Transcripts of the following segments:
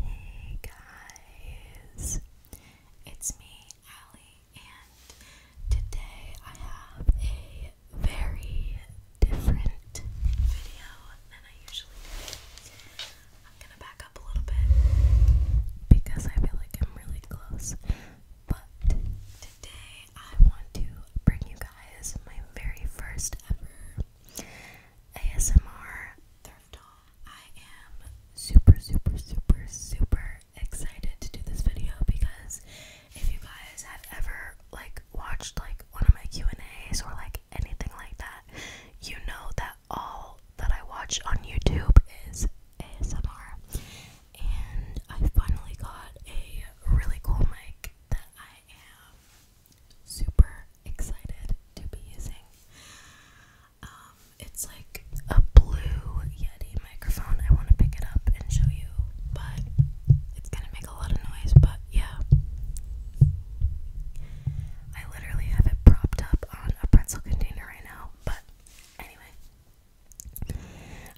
Hey guys, it's me, Allie, and today I have a very different video than I usually do. I'm gonna back up a little bit because I feel like I'm really close, but today I want to bring you guys my very first ever ASMR Thrift I am super, super, super, super excited to do this video because if you guys have ever like watched like one of my Q and A's or like anything like that, you know that all that I watch on YouTube is ASMR, and I finally got a really cool mic that I have super excited to be using. Um, it's like a blue Yeti microphone. I want to pick it up and show you, but it's gonna make a lot of noise. But yeah, I literally have it propped up on a pretzel container right now. But anyway,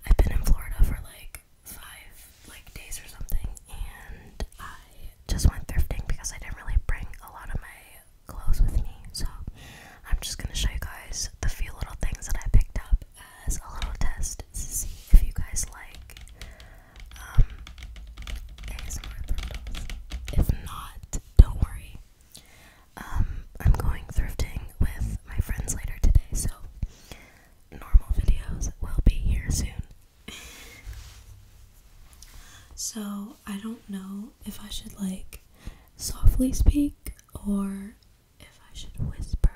I've been in Florida for like five like days or something, and I just went thrifting because I didn't really bring a lot of my clothes with me. So I'm just gonna show you guys the few little things that I picked up as a little test to see if you guys like um, ASMR thrift If not, don't worry. Um, I'm going thrifting with my friends later today, so normal videos will be here soon. so, I don't know if I should like softly speak or if I should whisper.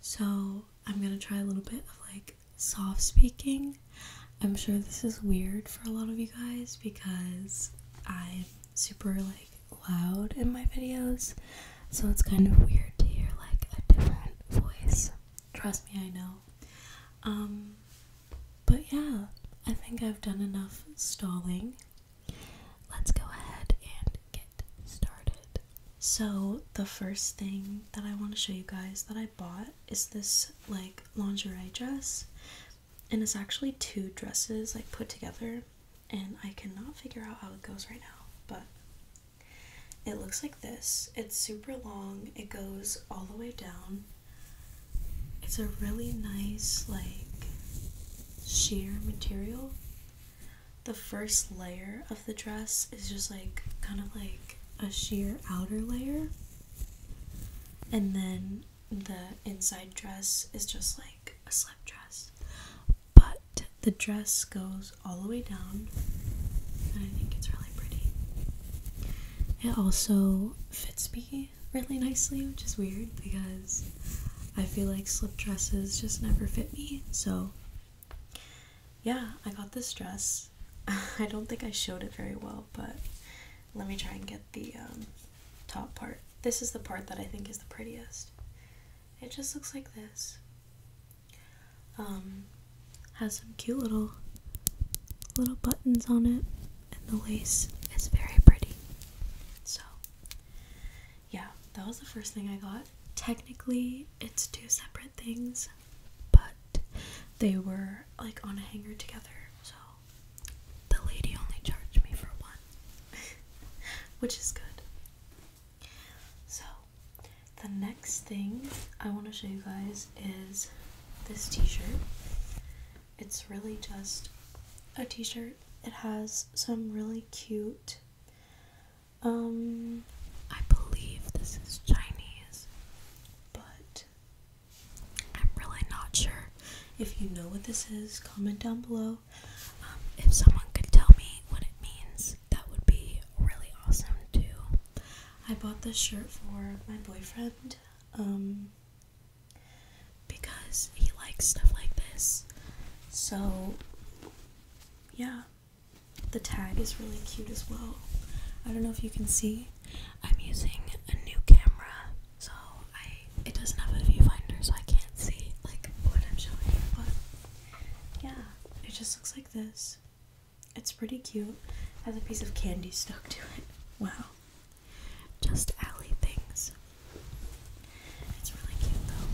So, I'm gonna try a little bit of like soft speaking. I'm sure this is weird for a lot of you guys because I'm super like loud in my videos. So it's kind of weird to hear like a different voice. Trust me, I know. Um, but yeah, I think I've done enough stalling. Let's go ahead and get started. So, the first thing that I want to show you guys that I bought is this like lingerie dress. And it's actually two dresses like put together, and I cannot figure out how it goes right now, but it looks like this. It's super long. It goes all the way down. It's a really nice, like, sheer material. The first layer of the dress is just like kind of like a sheer outer layer, and then the inside dress is just like a slip dress. But the dress goes all the way down, and I think it's really pretty. It also fits me really nicely, which is weird because I feel like slip dresses just never fit me. So, yeah, I got this dress. I don't think I showed it very well, but let me try and get the um, top part. This is the part that I think is the prettiest it just looks like this. Um, has some cute little little buttons on it, and the lace is very pretty. So, yeah, that was the first thing I got. Technically, it's two separate things, but they were like on a hanger together. So, the lady only charged me for one, which is good. So, the next thing I want to show you guys is this t shirt. It's really just a t shirt, it has some really cute, um, I believe this is Chinese, but I'm really not sure. If you know what this is, comment down below um, if someone could tell me what it means, that would be really awesome too. I bought this shirt for my boyfriend um, because he likes stuff like this. So, yeah, the tag is really cute as well. I don't know if you can see. I'm using a new camera, so I it doesn't have a viewfinder, so I can't see like what I'm showing you. But yeah, it just looks like this. It's pretty cute. Has a piece of candy stuck to it. Wow. Just alley things. It's really cute though.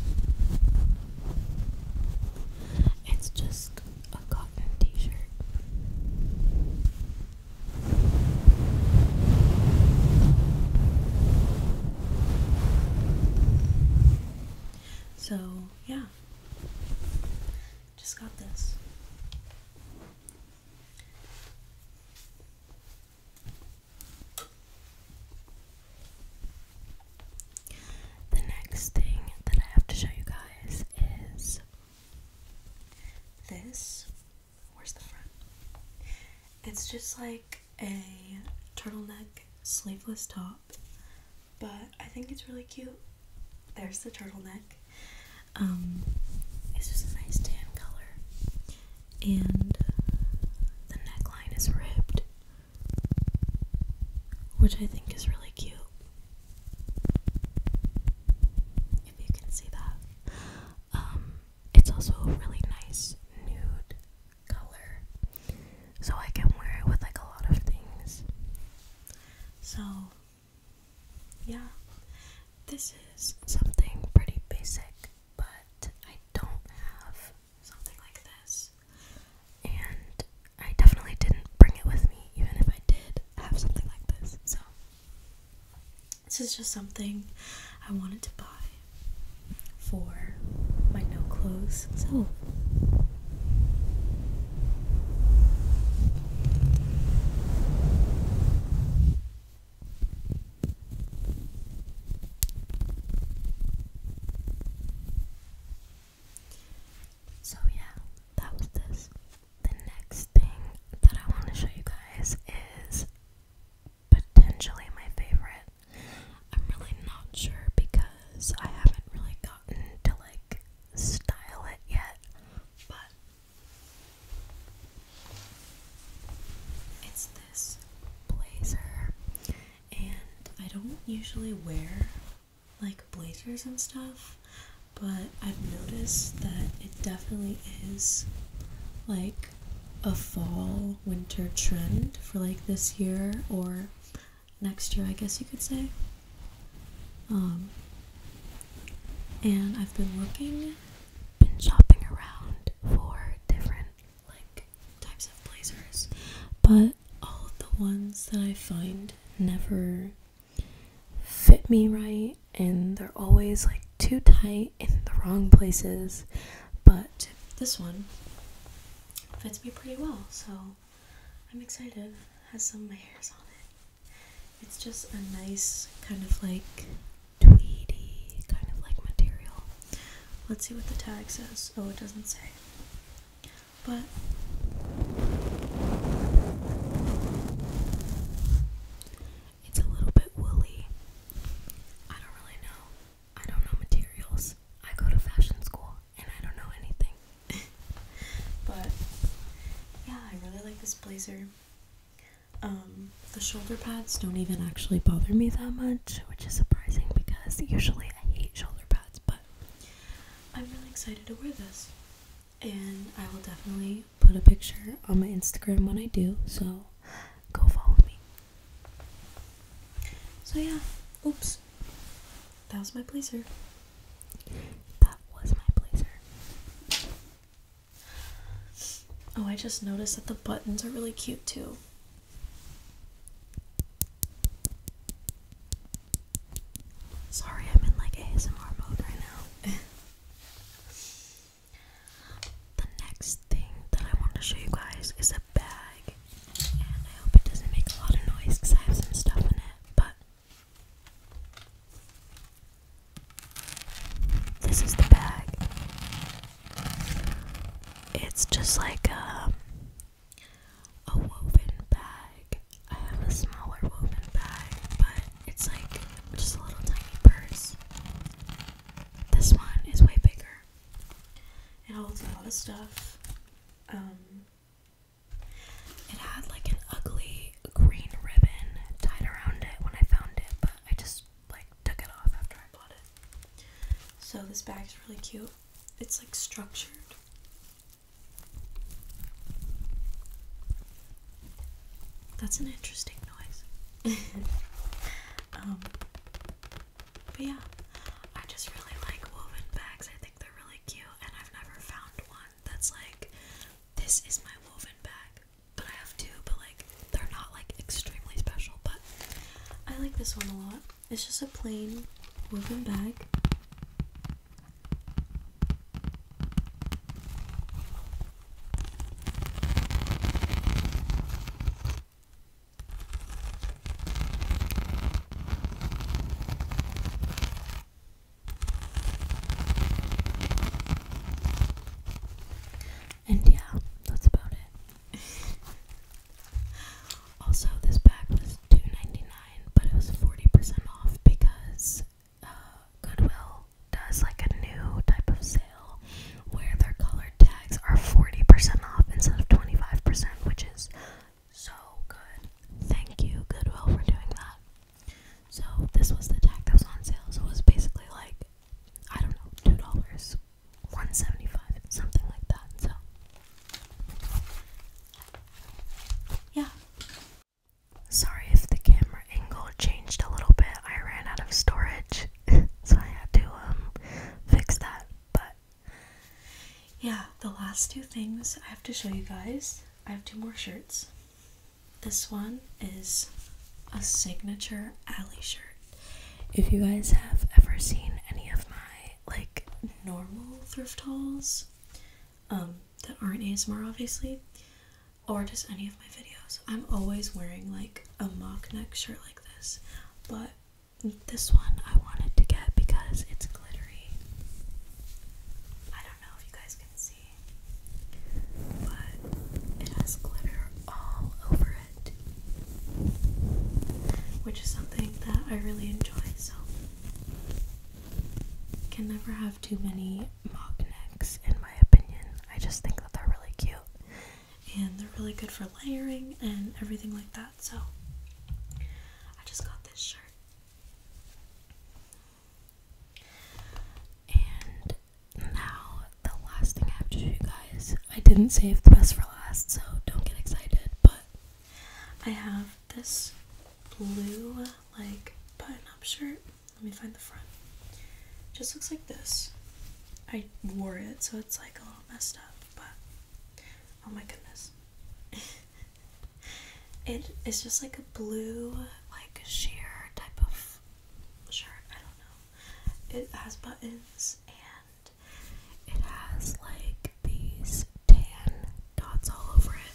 It's just a cotton t shirt. So, yeah. Just got this. The next thing that I have to show you guys is this. Where's the front? It's just like a turtleneck sleeveless top, but I think it's really cute. There's the turtleneck. Um, it's just a nice tan color, and the neckline is ribbed, which I think is really cute. If you can see that, um, it's also a really nice nude color. So I can wear it with like a lot of things. So, yeah, this is something pretty basic, but I don't have something like this. And I definitely didn't bring it with me, even if I did have something like this. So, this is just something I wanted to buy for my new clothes. So so yeah, that was this. The next thing that I want to show you guys is potentially my favorite. I'm really not sure because I haven't really gotten to like style it yet, but it's this blazer, and I don't usually wear like blazers and stuff, but I've noticed that it definitely is like a fall winter trend for like this year or next year, I guess you could say. Um, and I've been looking, been shopping around for different like types of blazers, but all the ones that I find never fit me right, and they're always like too tight in the wrong places, but this one fits me pretty well, so I'm excited. It has some layers on it. It's just a nice kind of like tweedy kind of like material. Let's see what the tag says. Oh, it doesn't say. But it's a little bit woolly. I don't really know. I don't know materials. I go to fashion school and I don't know anything. but yeah, I really like this blazer. Um, the shoulder pads don't even actually bother me that much, which is surprising because usually I hate shoulder pads, but I'm really excited to wear this. And I will definitely put a picture on my Instagram when I do, so go follow me. So, yeah, oops, that was my blazer. That was my blazer. Oh, I just noticed that the buttons are really cute too. Sorry, I'm in like ASMR mode right now. The next thing that I want to show you guys is a bag, and I hope it doesn't make a lot of noise because I have some stuff in it. But this is the bag. It's just like a um, a woven bag. I have a smaller woven bag, but it's like just a little tiny purse. This one is way bigger. It holds a lot of stuff. Um, it had like an ugly green ribbon tied around it when I found it, but I just like took it off after I bought it. So this bag's really cute. It's like structured. That's an interesting noise. Um, but yeah, I just really like woven bags. I think they're really cute, and I've never found one that's like, this is my woven bag. But I have two, but like, they're not like extremely special. But I like this one a lot. It's just a plain woven bag. And yeah, that's about it. also, this bag was 2 but it was 40% off because uh, Goodwill does like a new type of sale where their colored tags are 40% off instead of 25%, which is so good. Thank you, Goodwill, for doing that. So, this was the tag that was on sale, so it was basically like, I don't know, $2, dollars one seventy five, something like that. So, yeah, Sorry if the camera angle changed a little bit. I ran out of storage, so I had to um fix that. But yeah, the last two things I have to show you guys. I have two more shirts. This one is a signature alley shirt. If you guys have ever seen any of my like normal thrift hauls, um, that aren't ASMR obviously, or just any of my videos. I'm always wearing like a mock neck shirt like this, but this one I wanted to get because it's glittery. I don't know if you guys can see, but it has glitter all over it, which is something that I really enjoy. So, can never have too many mock necks, in my opinion. I just think that they're really cute and they're really good for layering and everything like that. So, I just got this shirt. And now, the last thing I have to show you guys, I didn't save the best for last, so don't get excited, but I have this blue, like, button up shirt. Let me find the front. just looks like this. I wore it, so it's like a little messed up, but oh my goodness. it is just like a blue, like sheer type of shirt. I don't know. It has buttons and it has like these tan dots all over it.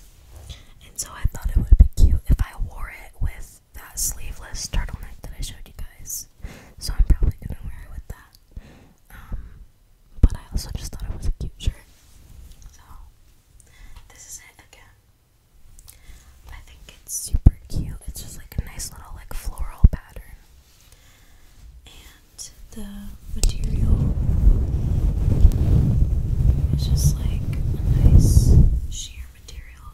And so I thought it would be cute if I wore it with that sleeveless turtleneck that I showed you guys. So I'm probably gonna wear it with that. Um, but I also just thought it was a cute shirt. So this is it again. I think it's super cute. It's just like a nice little like floral pattern. And the material is just like a nice sheer material.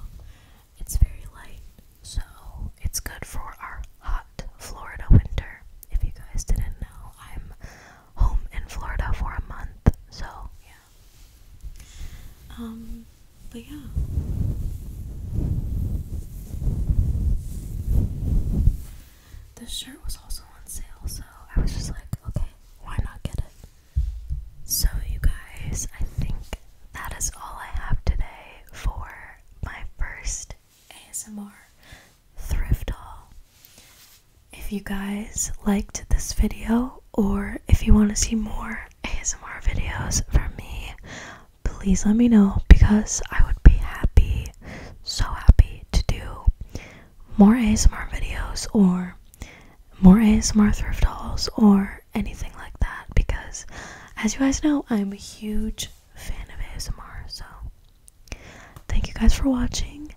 It's very light, so it's good for our hot Florida winter. If you guys didn't know, I'm home in Florida for a month, so yeah. Um, but yeah. This shirt was also on sale, so I was just like, okay, why not get it? So, you guys, I think that is all I have today for my first ASMR thrift haul. If you guys liked this video, or if you want to see more ASMR videos from me, please let me know because I would be happy, so happy to do more ASMR videos or more ASMR thrift hauls or anything like that because, as you guys know, I'm a huge fan of ASMR. So, thank you guys for watching.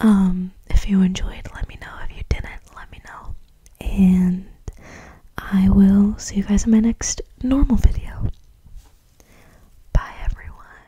Um, if you enjoyed, let me know. If you didn't, let me know. And I will see you guys in my next normal video. Bye, everyone.